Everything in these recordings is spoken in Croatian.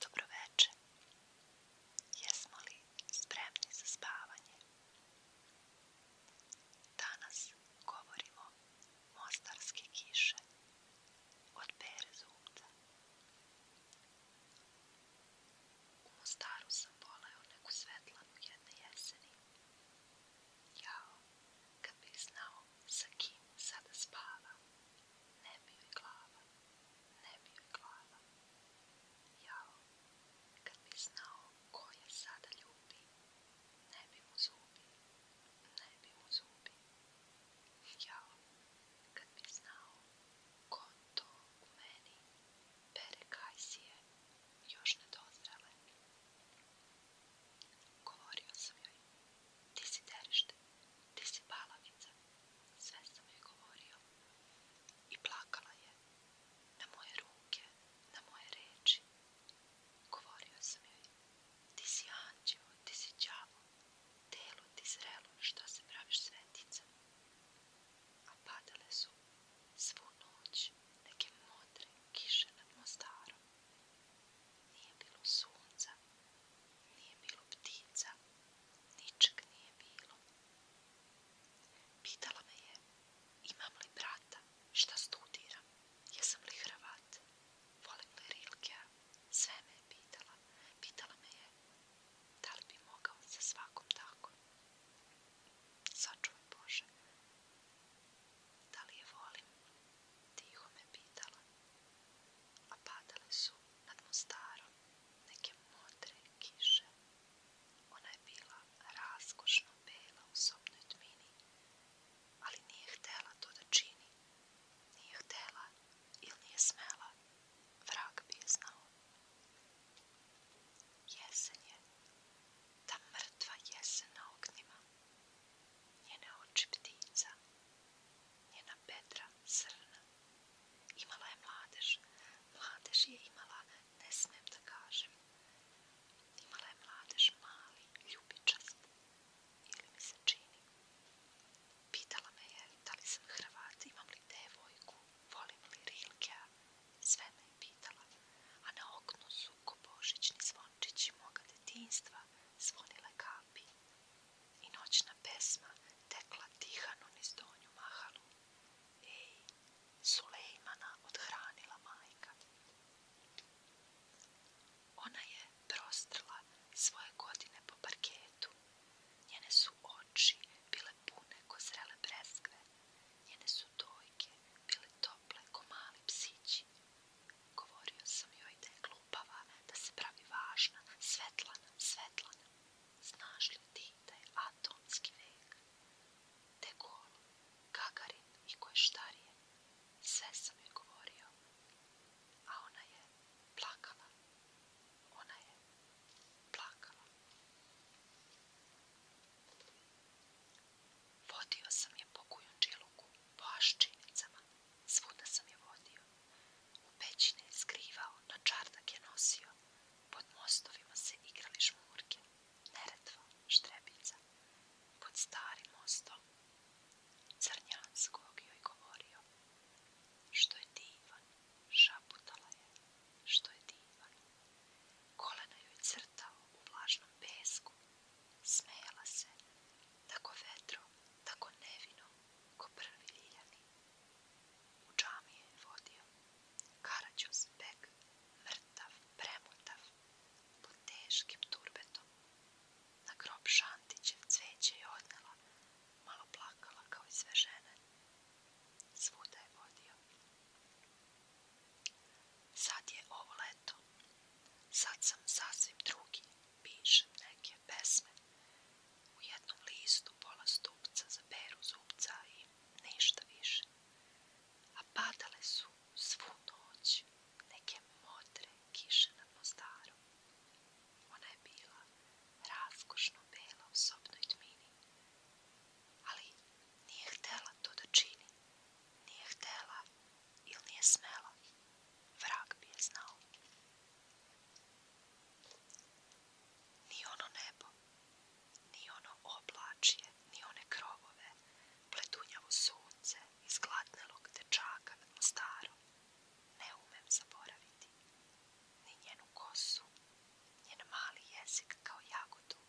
Dobro večer. Jesmo li spremni za spavanje? Danas govorimo mostarske kiše od Pere zumca. U Mostaru sam voleo neku svetlanu jedne jeseni. Jao, kad bih znao sa kim sada spavam. Ne bi glava, ne bi glava. Jao, kad bi znao ko je sada ljubi, ne bi mu zubi, ne bi mu zubi. Jao, kad bi znao ko to meni pere kajsije, još nedozrele. Govorio sam joj ti si derište, ti si balavica, sve sam joj govorio. I plakala je, na moje ruke, na moje reči. Govorio sam joj, ti si anđeo, ti si đavo, telo ti zrelo, što se praviš svetica. A padale su svu noć neke modre kiše nad Mostarom. Nije bilo sunca, nije bilo ptica, ničeg nije bilo. Pitala me je, imam li brata, šta studiram, jesam li Hrvat, volim li Rilke. sve me je pitala. Pitala me je, da li bi mogao sa svakom tako. Sačuvaj Bože, da li je volim, tiho me pitala, a padale su nad Mostarom neke modre kiše. Ona je bila raskošno bela u sobnoj tmini, ali nije htjela to da čini. Nije htjela ili nije smela, vrag bi je znao. Jesen je, ta mrtva jesen na oknima. Njene oči ptica, njena Petra srna. Imala je mladež, mladež je imala, ne smem da kažem. Imala je mladež mali, ljubičast, ili mi se čini. Pitala me je da li sam Hrvat, imam li devojku, volim li Rilkea, sve me je pitala, a na oknu su ko božićni zvon zvončići moga detinjstva zvonile kapi i noćna pesma tekla tihanu niz donju mahalu. Ej, Sulejmana odhranila majka. Ona je prostrla svoje godine po parketu. Njene su oči bile pune ko zrele breskve. Njene su dojke bile tople ko mali psići. Govorio sam joj da je glupava, da se pravi važna, svetlana, svetlana. Znaš li da je atomski vek? De Gaulle, Gagarin i koje štarije. Sve sam joj govorio. A ona je plakala. Ona je plakala. Vodio sam je po kujundžiluku, po aščinicama. Svuda sam je vodio. U pećine je skrivao, na čardak je nosio. Pod mostovima se igrali šmurke, Neretva, štrebica. Pod starim mostom. Crnjanskog joj govorio. Što je divan, šaputala je. Što je divan. Kolena joj crtao u vlažnom pesku. Smejala se, tako vetro, tako nevino, ko prvi Uđami U je vodio Karađus beg, mrtav, premotav, pod teškim turbetom. Na grob Šantićev cveće je odnela, malo plakala kao i sve žene. Svuda je vodio. Sad je ovo leto, Sad sam sasvim drugi, pišem neke pesme. U jednom listu pola stupca za peru zubca i ništa više. A padale su svu noć neke modre kiše na mostaru. Ona je bila raskošno bela u sobnoj tmini. Ali nije htjela to da čini. Nije htjela ili nije smela, vrag bi je znao. Ni ono nebo, ni ono oblačje, ni one krovove, pletunjavo sunce iz te dečaka nad mostarom, ne umem zaboraviti, ni njenu kosu, njen mali jezik kao jagodu,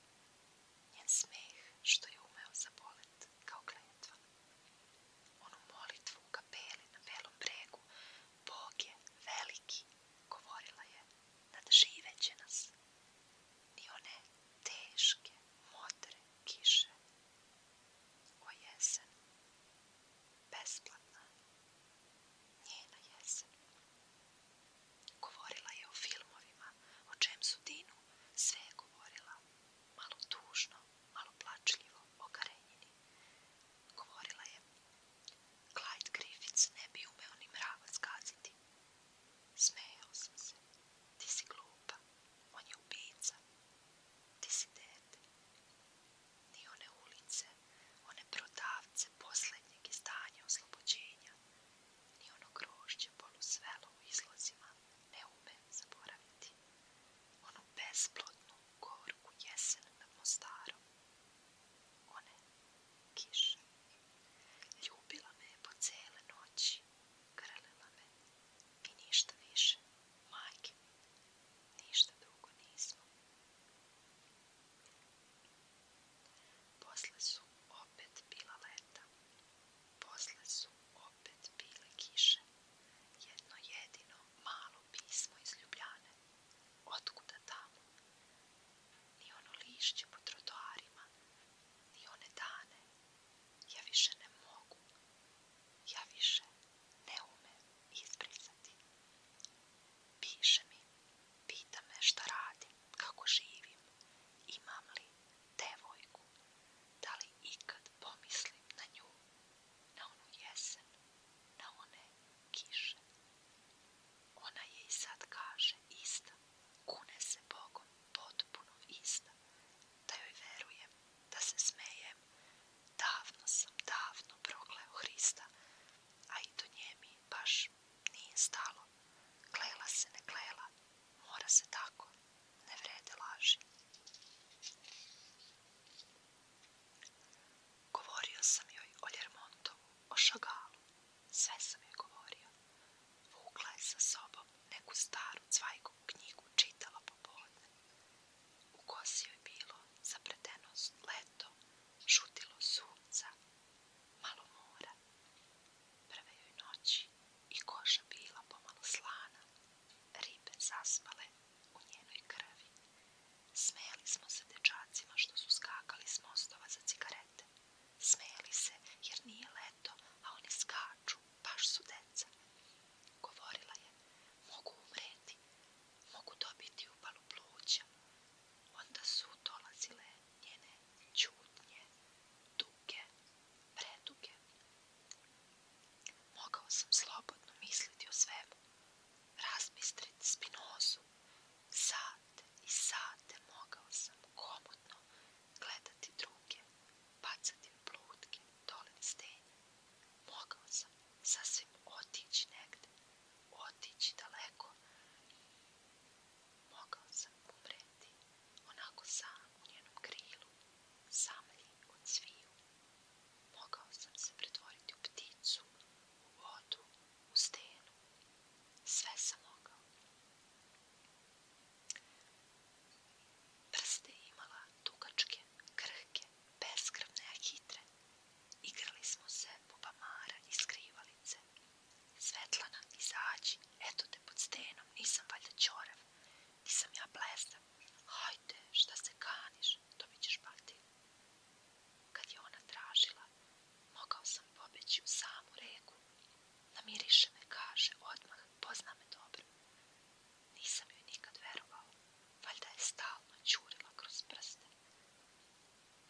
njen smeh što je umeo zabolet kao kletva. Onu molitvu u kapeli na belom bregu, Bog je veliki, govorila je, nadživeće nas. Ni one teške, modre kiše. O jesen, besplatna, njena jesen. Govorila je o filmovima, o čem su Dinu sve govorila malo tužno, malo plačljivo, okarenjeni. Govorila je, Clyde Griffiths ne bi umeo ni mravac skaziti. Smejao sam se. Ti si glupa. On je ubica. Ti si dete. Ni one ulice, one prodavce posljednjeg izdanja oslobođenja, ni ono grošće polusvelo ono u izlozima ne umem zaboraviti. Onu besplodnu gorku jesen nad Mostarom. One kiše. Ljubila me je po cele noći. Grlila me. I ništa više. Majke Ništa drugo nismo. Posle su opet bila leta. Posle su opet bile kiše. Jedno jedino malo pismo iz Ljubljane. Otkuda tamo? Ni ono lišće po trotoarima, ni one dane. Ja više ne mogu. Ja više ne umem izbrisati. Piše mi, pita me što radim, kako živim, imam li devojku, da li ikad pomislim na nju, na onu jesen, na one kiše. Ona je i sad kaže ista, kune se Bogom, potpuno ista, da joj verujem, da se smejem, davno sam, davno progleo Hrista, a i do nje mi baš nije stalo Klela se ne klela, mora se tako, ne vrede laži. Govorio sam joj o Ljermontovu, o Šagalu, sve sam joj govorio. Vukla je sa sobom neku staru cvajkovu knjigu, čitala popodne. U kosi joj bilo zapreteno leto, šutilo sunca, malo mora. Prve joj noći i koša bila pomalo slana, ribe zaspale u njenoj krvi. Smijeli smo se dečacima što su skakali s mostova za cigarete. Smijeli se jer nije leto, a oni skaču, baš su deca. Govorila je, mogu umreti, mogu dobiti upalu pluća. Onda su dolazile njene čutnje, duge, preduge. Mogao sam slobodno misliti o svemu, razmisliti spinozu. Sate i sate mogao sam komotno gledati druge, bacati u plutke, dole stenje. Mogao sam sasvim otići negde, otići daleko. Mogao sam umreti onako sam u njenom krilu, samlji od sviju. Mogao sam se pretvoriti u pticu, u vodu, u stenu. Sve sam mogao. Prste imala dugačke, krhke, beskrvne, hitre. Igrali smo se popamara i skrivalice. Svetlana, izađi, eto te pod stenom, nisam valjda čorav, nisam ja blesav. Hajde, šta se kaniš, dobit ćeš bati. Kad je ona tražila, mogao sam pobeći u samu reku. Namiriše me, kaže, odmah, pozna me dobro. Nisam joj nikad verovao, valjda je stalno čurila kroz prste.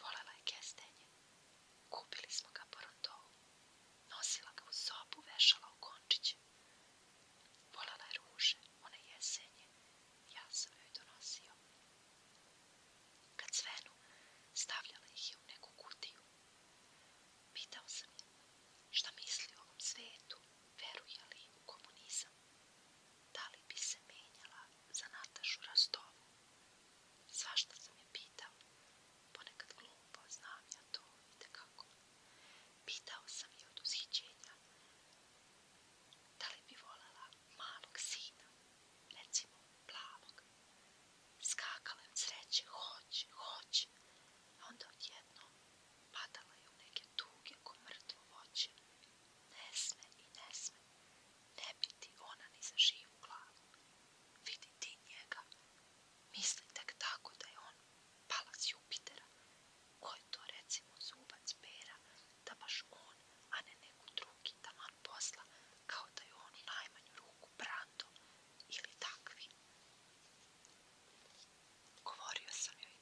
Volela je kestenje, Kupili smo ga po rondovu. Nosila ga u sobu, vešala u končiće. Volala je ruže, one jesenje. Ja sam joj donosio. Kad svenu, stavljala ih je u neku kutiju. Pitao sam je šta misli o ovom svetu, veruje li u komunizam. Da li bi se menjala za Natašu Rastovu? Svašta sam je pitao, ponekad glupo, znam ja to, vidite kako. Pitao sam je od uzhiđenja da li bi volela malog sina, recimo plavog. Skakala je od sreće, hoće, hoće, a onda odjedno padala je u neke tuge ko mrtvo Ne sme i ne sme, ne biti ona ni za živu glavu. Vidi ti njega. Misli tako da je on palac Jupitera. Koji to recimo zubac bera da baš on, a ne neku drugi taman posla kao da je on u najmanju ruku prato ili takvi. Govorio sam joj,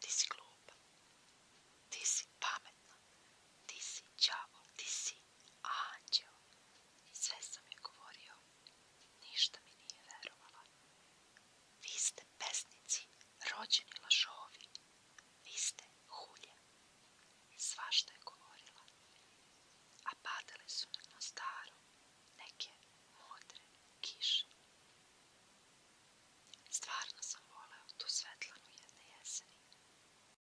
ti si glupa, ti si pametna, ti si đavo, ti si a anđeo, sve sam je govorio, ništa mi nije verovala. Vi ste pesnici, rođeni lažovi, vi ste hulje. Svašta je govorila, a padale su na staro neke modre kiše. Stvarno sam voleo tu svetlanu jedne jeseni.